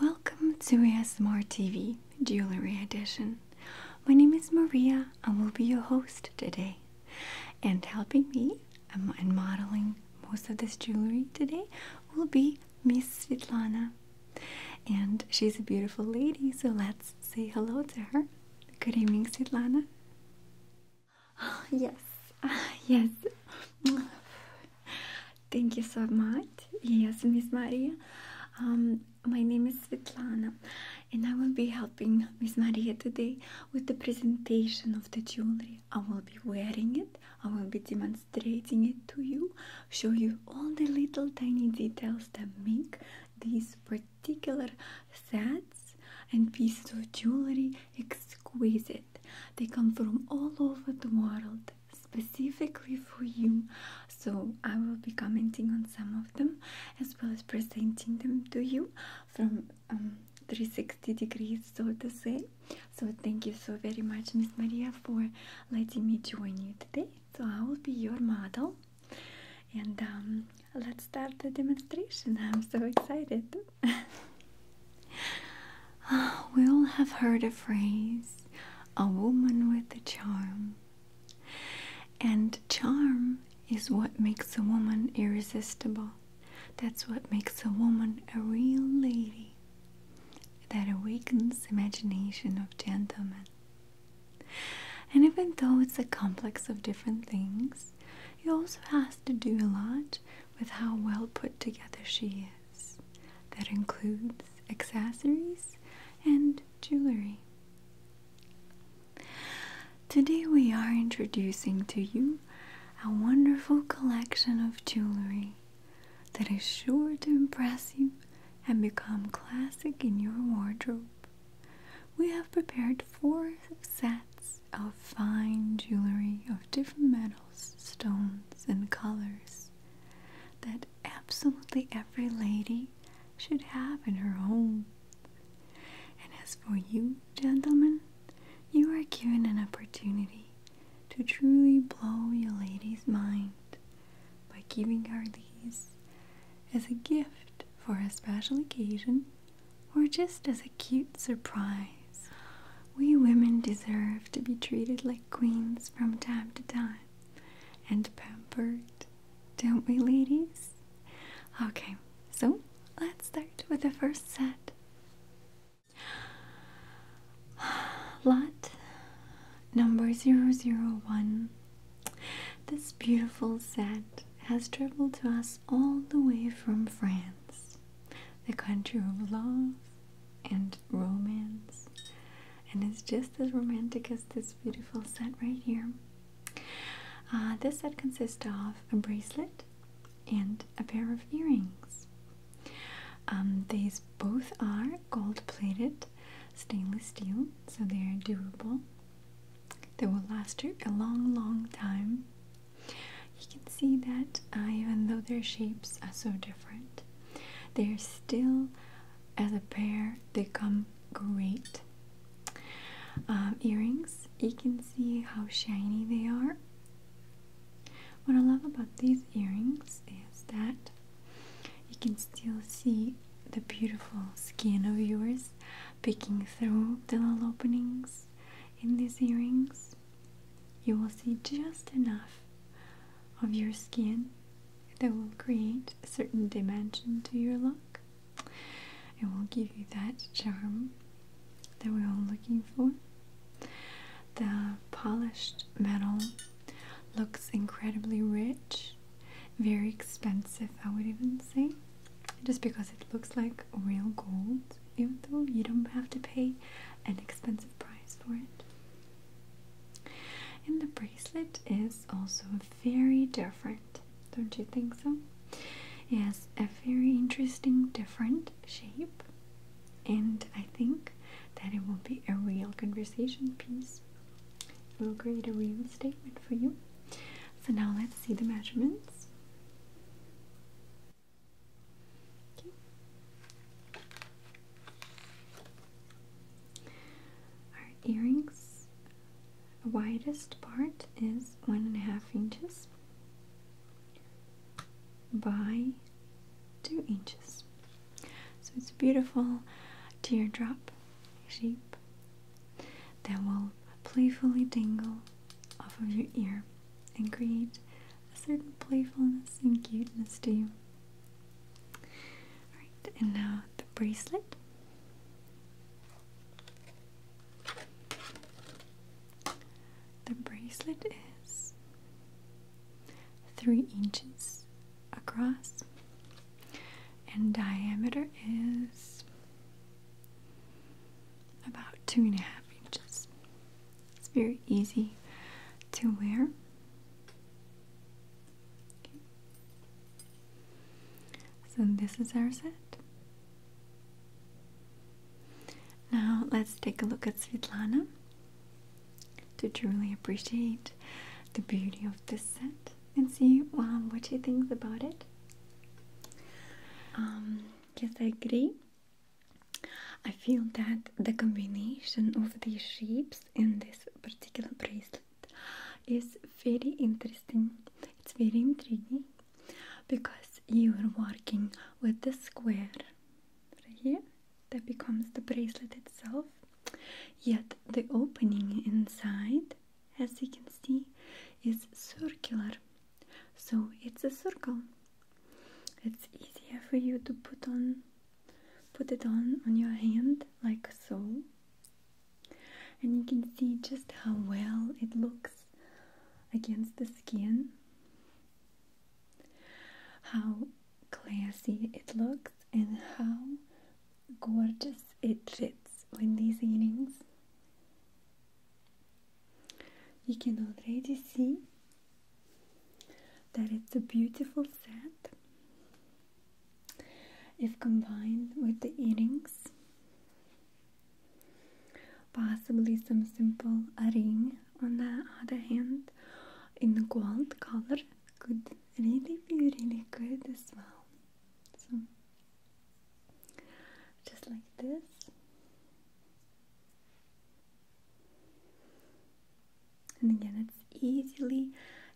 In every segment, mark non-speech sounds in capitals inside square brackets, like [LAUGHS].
Welcome to ASMR TV Jewelry Edition. My name is Maria and will be your host today. And helping me and modeling most of this jewelry today will be Miss Svetlana. And she's a beautiful lady, so let's say hello to her. Good evening, Svetlana. [GASPS] yes, [LAUGHS] yes. [LAUGHS] Thank you so much. Yes, Miss Maria. Um, my name is Svetlana, and I will be helping Miss Maria today with the presentation of the jewelry. I will be wearing it, I will be demonstrating it to you, show you all the little tiny details that make these particular sets and pieces of jewelry exquisite. They come from all over the world specifically for you. So I will be commenting on some of them as well as presenting them to you from um, 360 degrees, so to say. So thank you so very much, Miss Maria, for letting me join you today. So I will be your model. And um, let's start the demonstration. I'm so excited. [LAUGHS] [SIGHS] we all have heard a phrase a woman with a charm. And charm is what makes a woman irresistible. That's what makes a woman a real lady that awakens imagination of gentlemen. And even though it's a complex of different things, it also has to do a lot with how well put together she is. That includes accessories and jewelry. Today, we are introducing to you a wonderful collection of jewelry that is sure to impress you and become classic in your wardrobe. We have prepared four sets of fine jewelry of different metals stones, and colors that absolutely every lady should have in her home. And as for you, gentlemen, you are given an opportunity to truly blow your lady's mind by giving her these as a gift for a special occasion or just as a cute surprise we women deserve to be treated like queens from time to time and pampered, don't we, ladies? Okay, so let's start with the first set. [SIGHS] Lot number 001. This beautiful set has traveled to us all the way from France, the country of love and and romance. And it's just as romantic as this beautiful set right here. Uh, this set consists of a bracelet and a pair of earrings. Um, these both are gold plated stainless steel, so they are durable. They will last you a long, long time you can see that uh, even though their shapes are so different, they're still, as a pair, they come great. Um, earrings, you can see how shiny they are. What I love about these earrings is that you can still see the beautiful skin of yours peeking through the little openings in these earrings you will see just enough of your skin that will create a certain dimension to your look. It will give you that charm that we're all looking for. The polished metal looks incredibly rich, very expensive, I would even say, just because it looks like real gold even though you don't have to pay an expensive price for it. And the bracelet is also very different, don't you think so? Yes, a very interesting, different shape, and I think that it will be a real conversation piece. It will create a real statement for you. So now let's see the measurements. Our earrings widest part is one and a half inches by two inches. So it's a beautiful teardrop shape that will playfully dangle off of your ear and create a certain playfulness and cuteness to you. Alright, and now the bracelet. The bracelet is three inches across and diameter is about two and a half inches. It's very easy to wear. So this is our set. Now let's take a look at Svetlana to truly appreciate the beauty of this set and see what she thinks about it. Um, yes, agree. I feel that the combination of these shapes in this particular bracelet is very interesting. It's very intriguing because you are working with the square here that becomes the bracelet itself. Yet the opening inside, as you can see, is circular. So it's a circle it's easier for you to put on put it on on your hand like so and you can see just how well it looks against the skin how classy it looks and how gorgeous it fits with these earrings you can already see that it's a beautiful set. If combined with the earrings, possibly some simple ring on the other hand in gold color could really be really good as well. just like this. And again, it's easily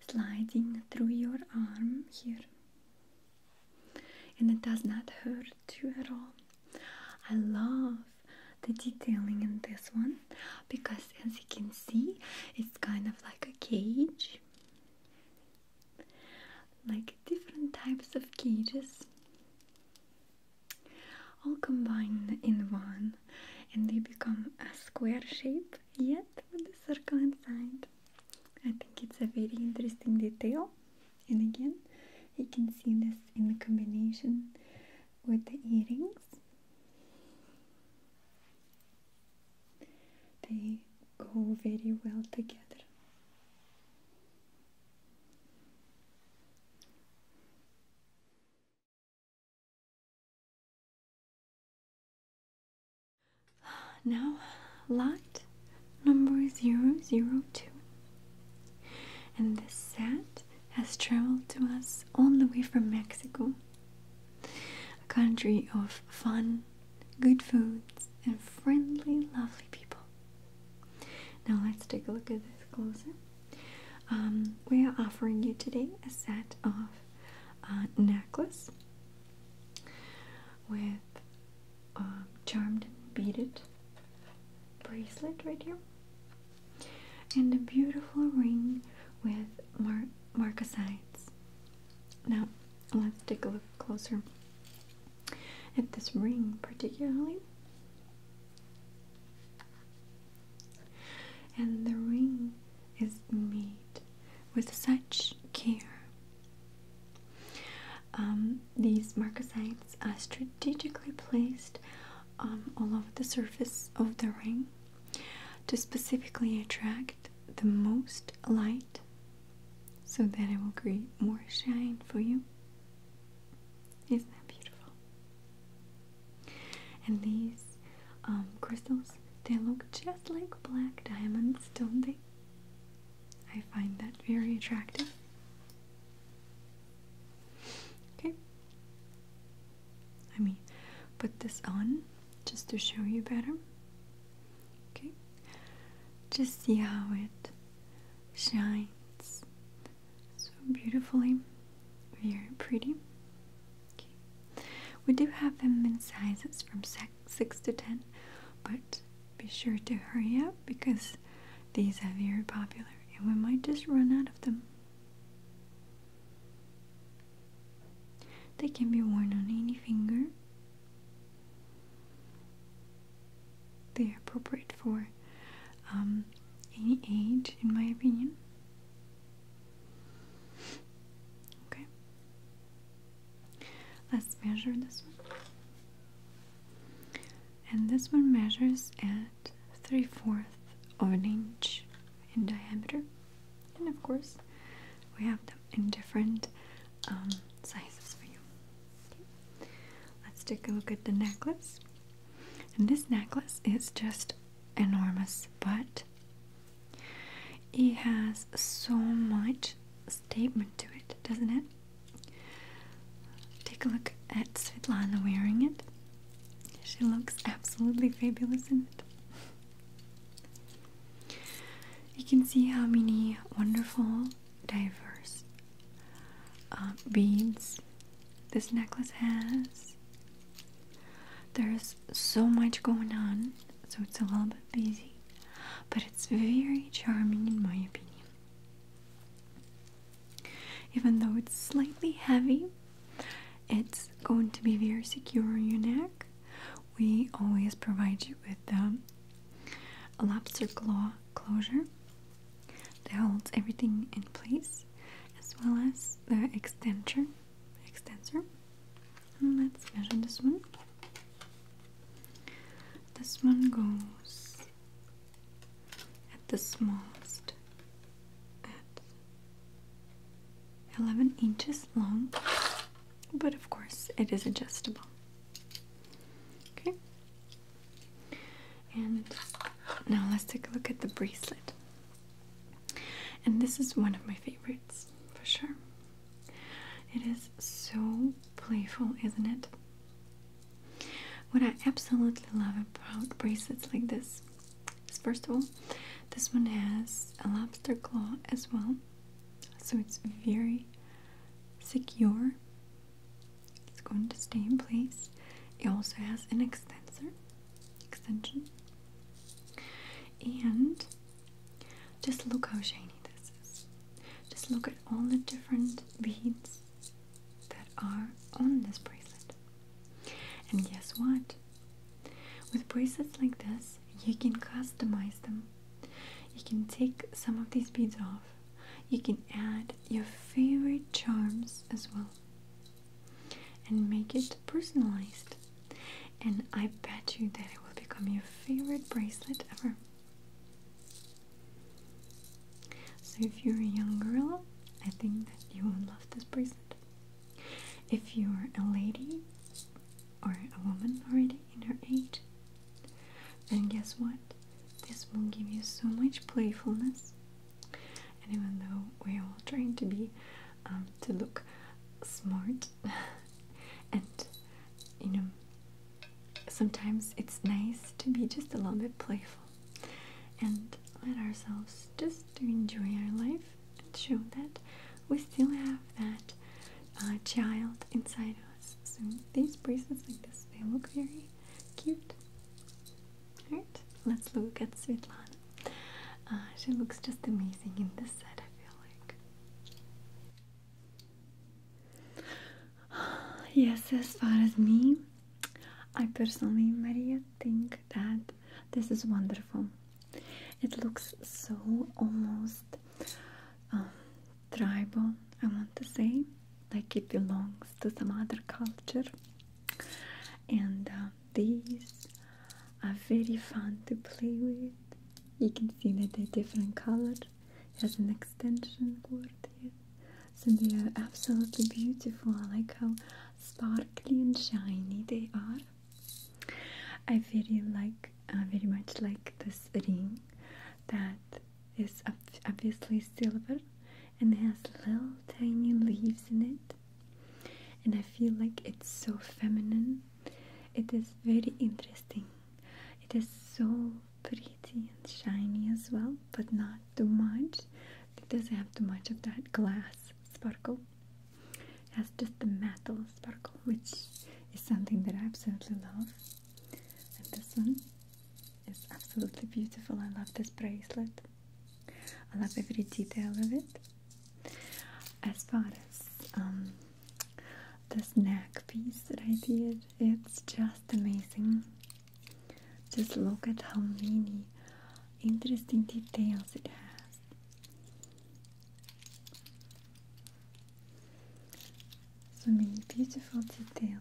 sliding through your arm here. And it does not hurt you at all. I love the detailing in this one because, as you can see, it's kind of like a cage, like different types of cages all combined in one and they become a square shape yet with the circle inside. I think it's a very interesting detail and again you can see this in the combination with the earrings. They go very well together. [SIGHS] Now, lot number 002. And this set has traveled to us all the way from Mexico, a country of fun, good foods, and friendly, lovely people. Now, let's take a look at this closer. Um, we are offering you today a set of uh, necklace with um, charmed beaded bracelet right here, and a beautiful ring with mar marcasites. Now, let's take a look closer at this ring, particularly. And the ring is made with such care. Um, these marcasites are strategically placed um, all over the surface of the ring to specifically attract the most light so that it will create more shine for you. Isn't that beautiful? And these um, crystals, they look just like black diamonds, don't they? I find that very attractive. Okay. Let me put this on just to show you better. Okay. Just see how it shines so beautifully, very pretty. We do have them in sizes from 6 to 10, but be sure to hurry up because these are very popular and we might just run out of them. They can be worn on any finger. They are appropriate for for um, in my opinion. Okay. Let's measure this one. And this one measures at 3 fourths of an inch in diameter. And of course, we have them in different um, sizes for you. Let's take a look at the necklace. And this necklace is just enormous, but it has so much statement to it, doesn't it? Take a look at Svetlana wearing it. She looks absolutely fabulous doesn't it. You can see how many wonderful, diverse uh, beads this necklace has. There's so much going on, so it's a little bit busy, but it's very charming in my opinion. Even though it's slightly heavy, it's going to be very secure on your neck. We always provide you with the um, lobster claw closure that holds everything in place as well as the extensor extensor let's measure this one this one goes at the smallest at 11 inches long but of course it is adjustable okay and now let's take a look at the bracelet. And this is one of my favorites for sure. It is so playful, isn't it? What I absolutely love about bracelets like this is first of all, this one has a lobster claw as well, so it's very secure it's going to stay in place. It also has an extensor extension. And just look how shiny this is. Just look at all the different beads that are on this bracelet. And guess what? With bracelets like this, you can customize them. You can take some of these beads off you can add your favorite charms as well and make it personalized. And I bet you that it will become your favorite bracelet ever. So, if you're a young girl, I think that you will love this bracelet. If you're a lady or a woman already in her eight, then guess what? This will give you so much playfulness even though we're all trying to be um, to look smart, [LAUGHS] and you know, sometimes it's nice to be just a little bit playful and let ourselves just enjoy our life and show that we still have that uh, child inside us. So these bracelets like this, they look very cute. Alright, let's look at Svetlana. Uh, she looks just amazing in this set, I feel like. [SIGHS] Yes, as far as me, I personally, Maria, think that this is wonderful. It looks so almost um, tribal, I want to say like it belongs to some other culture. And uh, these are very fun to play with. You can see that they're different color. It has an extension cord here. So they are absolutely beautiful. I like how sparkly and shiny they are. I very like, very much like this ring that is obviously silver and it has little tiny leaves in it. And I feel like it's so feminine. It is very interesting. It is so pretty and shiny as well, but not too much. It doesn't have too much of that glass sparkle. It has just the metal sparkle, which is something that I absolutely love. And this one it's absolutely beautiful. I love this bracelet. I love every detail of it. As far as um, this neck piece that I did, it's just amazing. Just look at how many interesting details it has. So many beautiful details.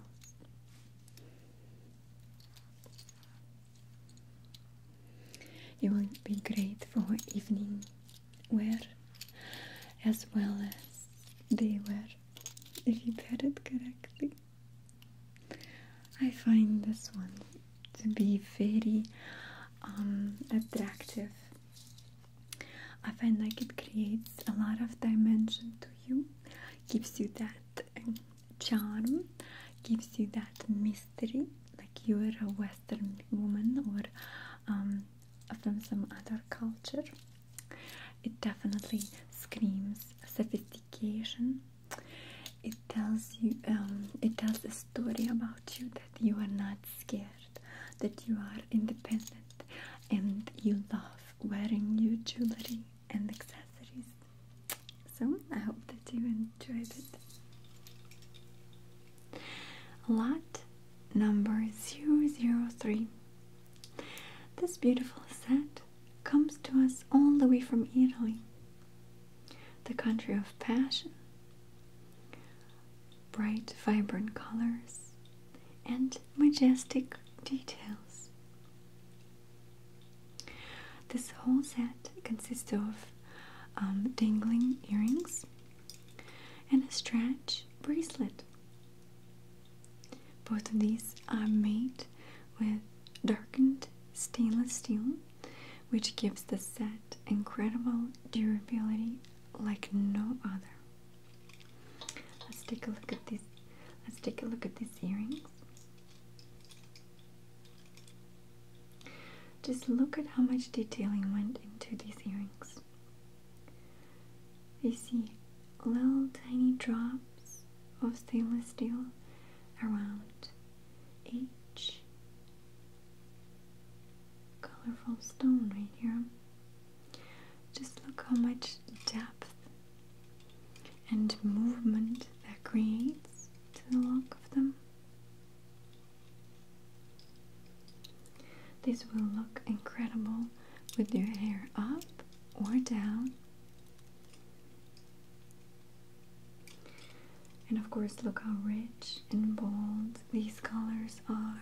It would be great for evening wear as well as day wear if you pair it correctly. I find this one to be very um, attractive. I find like it creates a lot of dimension to you, gives you that charm, gives you that mystery, like you are a Western woman or um, from some other culture. It definitely screams sophistication. It tells you, um, it tells a story about you that you are not scared, that you are independent, and you love wearing your jewelry and accessories. So I hope that you enjoyed it. Lot number 003. This beautiful set comes to us all the way from Italy, the country of passion, bright, vibrant colors, and majestic details. This whole set consists of um, dangling earrings and a stretch bracelet. Both of these are made with darkened stainless steel, which gives the set incredible durability like no other. Let's take a look at this. Let's take a look at this earring. Just look at how much detailing went into these earrings. You see little tiny drops of stainless steel around each colorful stone right here. Just look how much depth and movement that creates to the lock of them. This will look incredible with your hair up or down. And of course, look how rich and bold these colors are.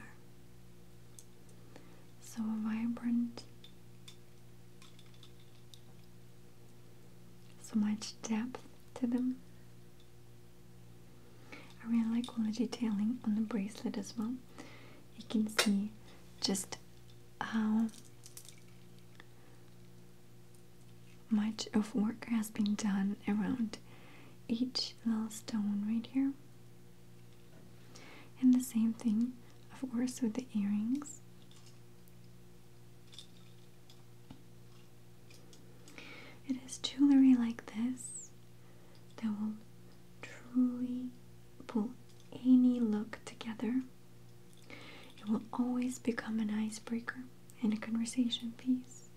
So vibrant so much depth to them. I really like all the detailing on the bracelet as well. You can see just how much of work has been done around each little stone right here. And the same thing, of course, with the earrings. It is jewelry like this that will truly pull any look together. It will always become an icebreaker in a conversation piece.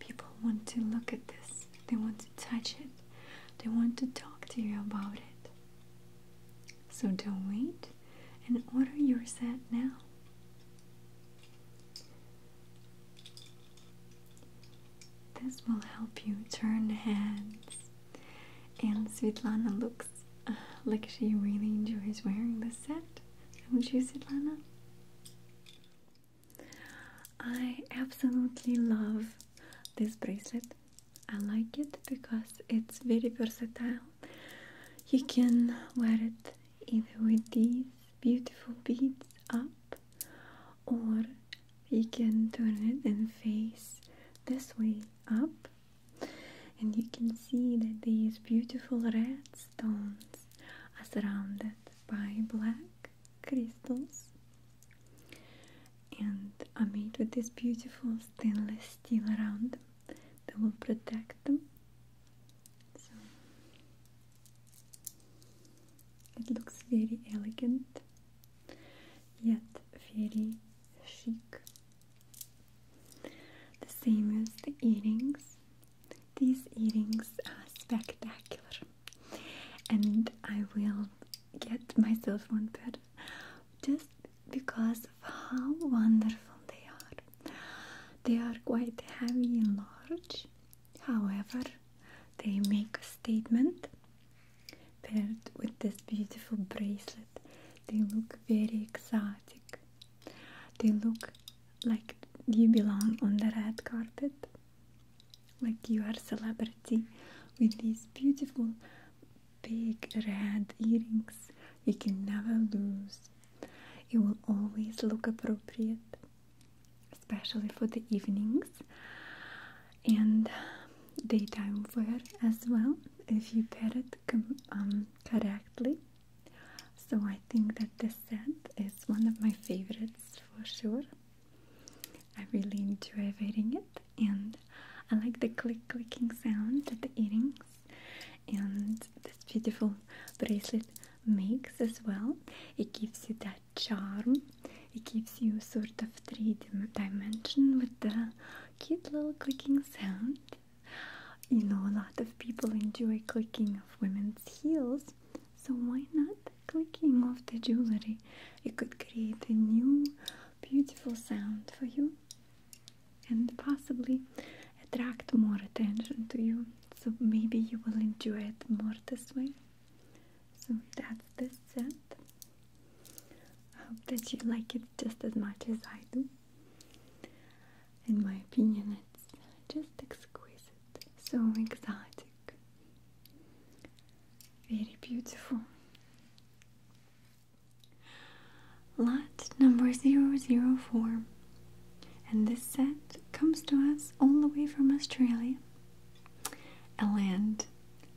People want to look at this, they want to touch it, they want to talk to you about it. So don't wait and order your set now. This will help you turn hands. And Svetlana looks uh, like she really enjoys wearing this set. Don't you, Svetlana? I absolutely love this bracelet. I like it because it's very versatile. You can wear it either with these beautiful beads up or you can turn it and face this way up and you can see that these beautiful red stones are surrounded by black crystals and are made with this beautiful stainless steel around them that will protect them. So it looks very elegant yet very chic. The same as the earrings. These earrings are spectacular, and I will get myself one pair just because of how wonderful they are. They are quite heavy and large, however, they make a statement. Paired with this beautiful bracelet, they look very exotic. They look like you belong on the red carpet, like you are a celebrity with these beautiful big red earrings you can never lose. It will always look appropriate, especially for the evenings and daytime wear as well if you pair it um, correctly. So I think that this set is one of my favorites for sure. I really enjoy wearing it and I like the click clicking sound that the earrings and this beautiful bracelet makes as well. It gives you that charm, it gives you sort of three dim dimension with the cute little clicking sound. You know, a lot of people enjoy clicking of women's heels, so why not clicking of the jewelry? It could create a new beautiful sound for you and possibly attract more attention to you. So maybe you will enjoy it more this way. So that's the set. I hope that you like it just as much as I do. In my opinion, it's just exquisite, so exotic, very beautiful. Lot number 004. And this set comes to us all the way from Australia, a land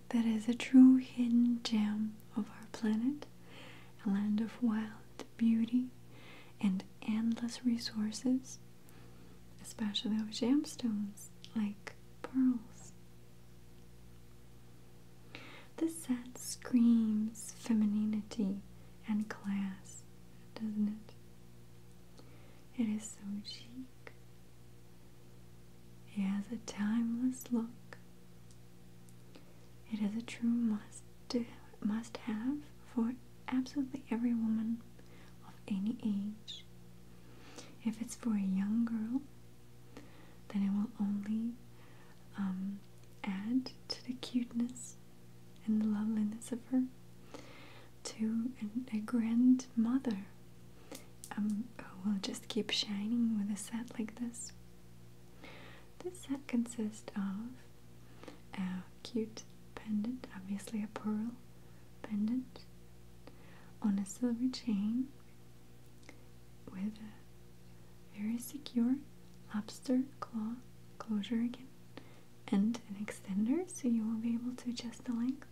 that is a true hidden gem of our planet, a land of wild beauty and endless resources, especially of gemstones like pearls. The set screams femininity and class, doesn't it? It is so chic. It has a timeless look. It is a true must must have for absolutely every woman of any age. If it's for a young girl, then it will only um, add to the cuteness and the loveliness of her to a, grandmother um, who will just keep shining with a set like this. This set consists of a cute pendant, obviously a pearl pendant, on a silver chain with a very secure lobster claw closure again and an extender so you will be able to adjust the length.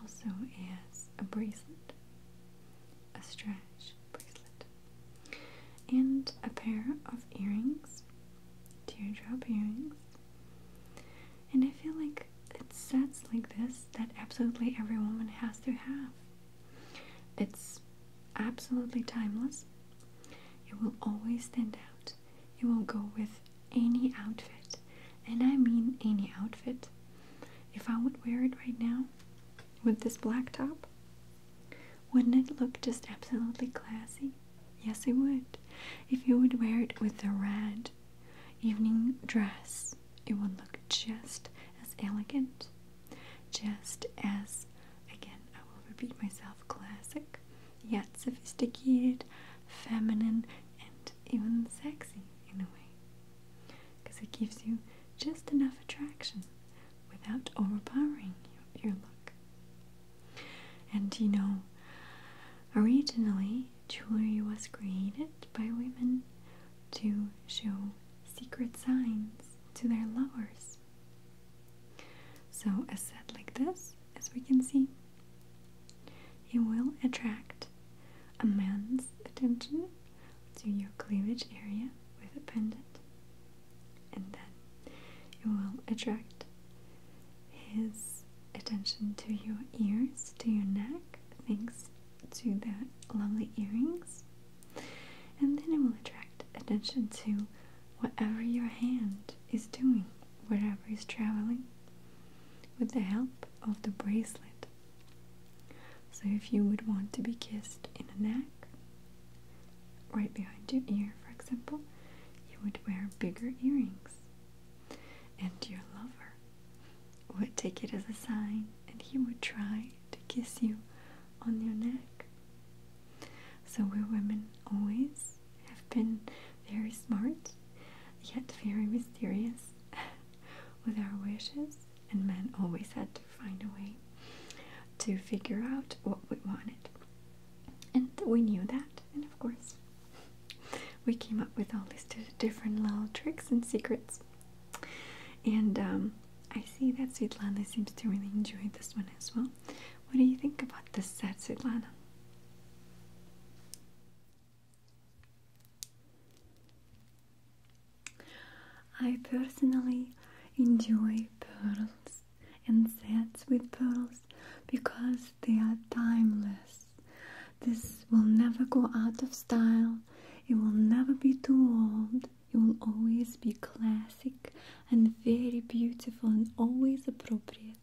Also as a bracelet, a stretch bracelet, and a pair of earrings, teardrop earrings. And I feel like it's sets like this that absolutely every woman has to have. It's absolutely timeless. It will always stand out. It will go with any outfit, and I mean any outfit. If I would wear it right now with this black top, wouldn't it look just absolutely classy? Yes, it would. If you would wear it with the red evening dress, it will look just as elegant, just as, again, I will repeat myself, classic, yet sophisticated, feminine, and even sexy in a way. Because it gives you just enough attraction without overpowering your look. And you know, originally, jewelry was created by women to show secret signs to their lovers. So, a set like this, as we can see, it will attract a man's attention to your cleavage area with a pendant, and then it will attract his attention to your ears, to your neck, things to the lovely earrings, and then it will attract attention to whatever your hand is doing, wherever is traveling, with the help of the bracelet. So, if you would want to be kissed in the neck, right behind your ear, for example, you would wear bigger earrings, and your lover would take it as a sign and he would try to kiss you on your neck. So we women always have been very smart, yet very mysterious [LAUGHS] with our wishes, and men always had to find a way to figure out what we wanted. And we knew that, and of course, we came up with all these different little tricks and secrets and um, I see that Svetlana seems to really enjoy this one as well. What do you think about this set, Svetlana? I personally enjoy pearls and sets with pearls because they are timeless. This will never go out of style. It will never be too old. It will always be classic and very beautiful and always appropriate.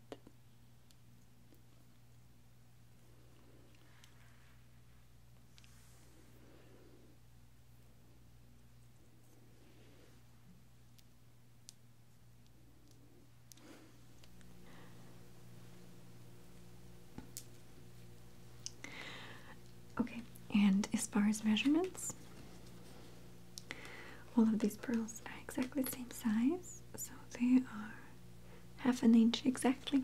Okay, and as far as measurements, all of these pearls are exactly the same size, so they are half an inch exactly.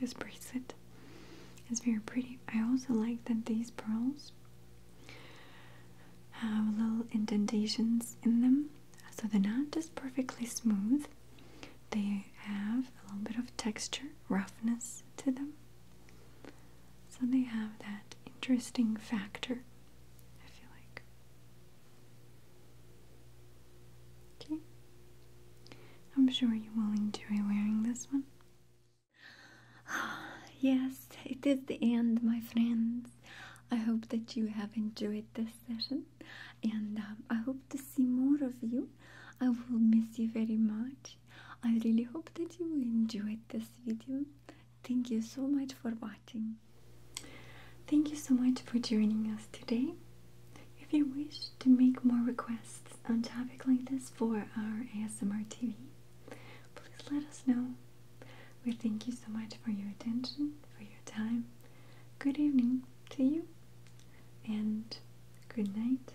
This bracelet is very pretty. I also like that these pearls have little indentations in them, so they're not just perfectly smooth. They have a little bit of texture, roughness to them. So they have that interesting factor, I feel like. Okay. I'm sure you are will enjoy wearing this one. [SIGHS] yes, it is the end, my friends. I hope that you have enjoyed this session and um, I hope to see more of you. I will miss you very much. I really hope that you enjoyed this video Thank you so much for watching. Thank you so much for joining us today. If you wish to make more requests on topic like this for our ASMR TV, please let us know. We thank you so much for your attention, for your time. Good evening to you, and good night.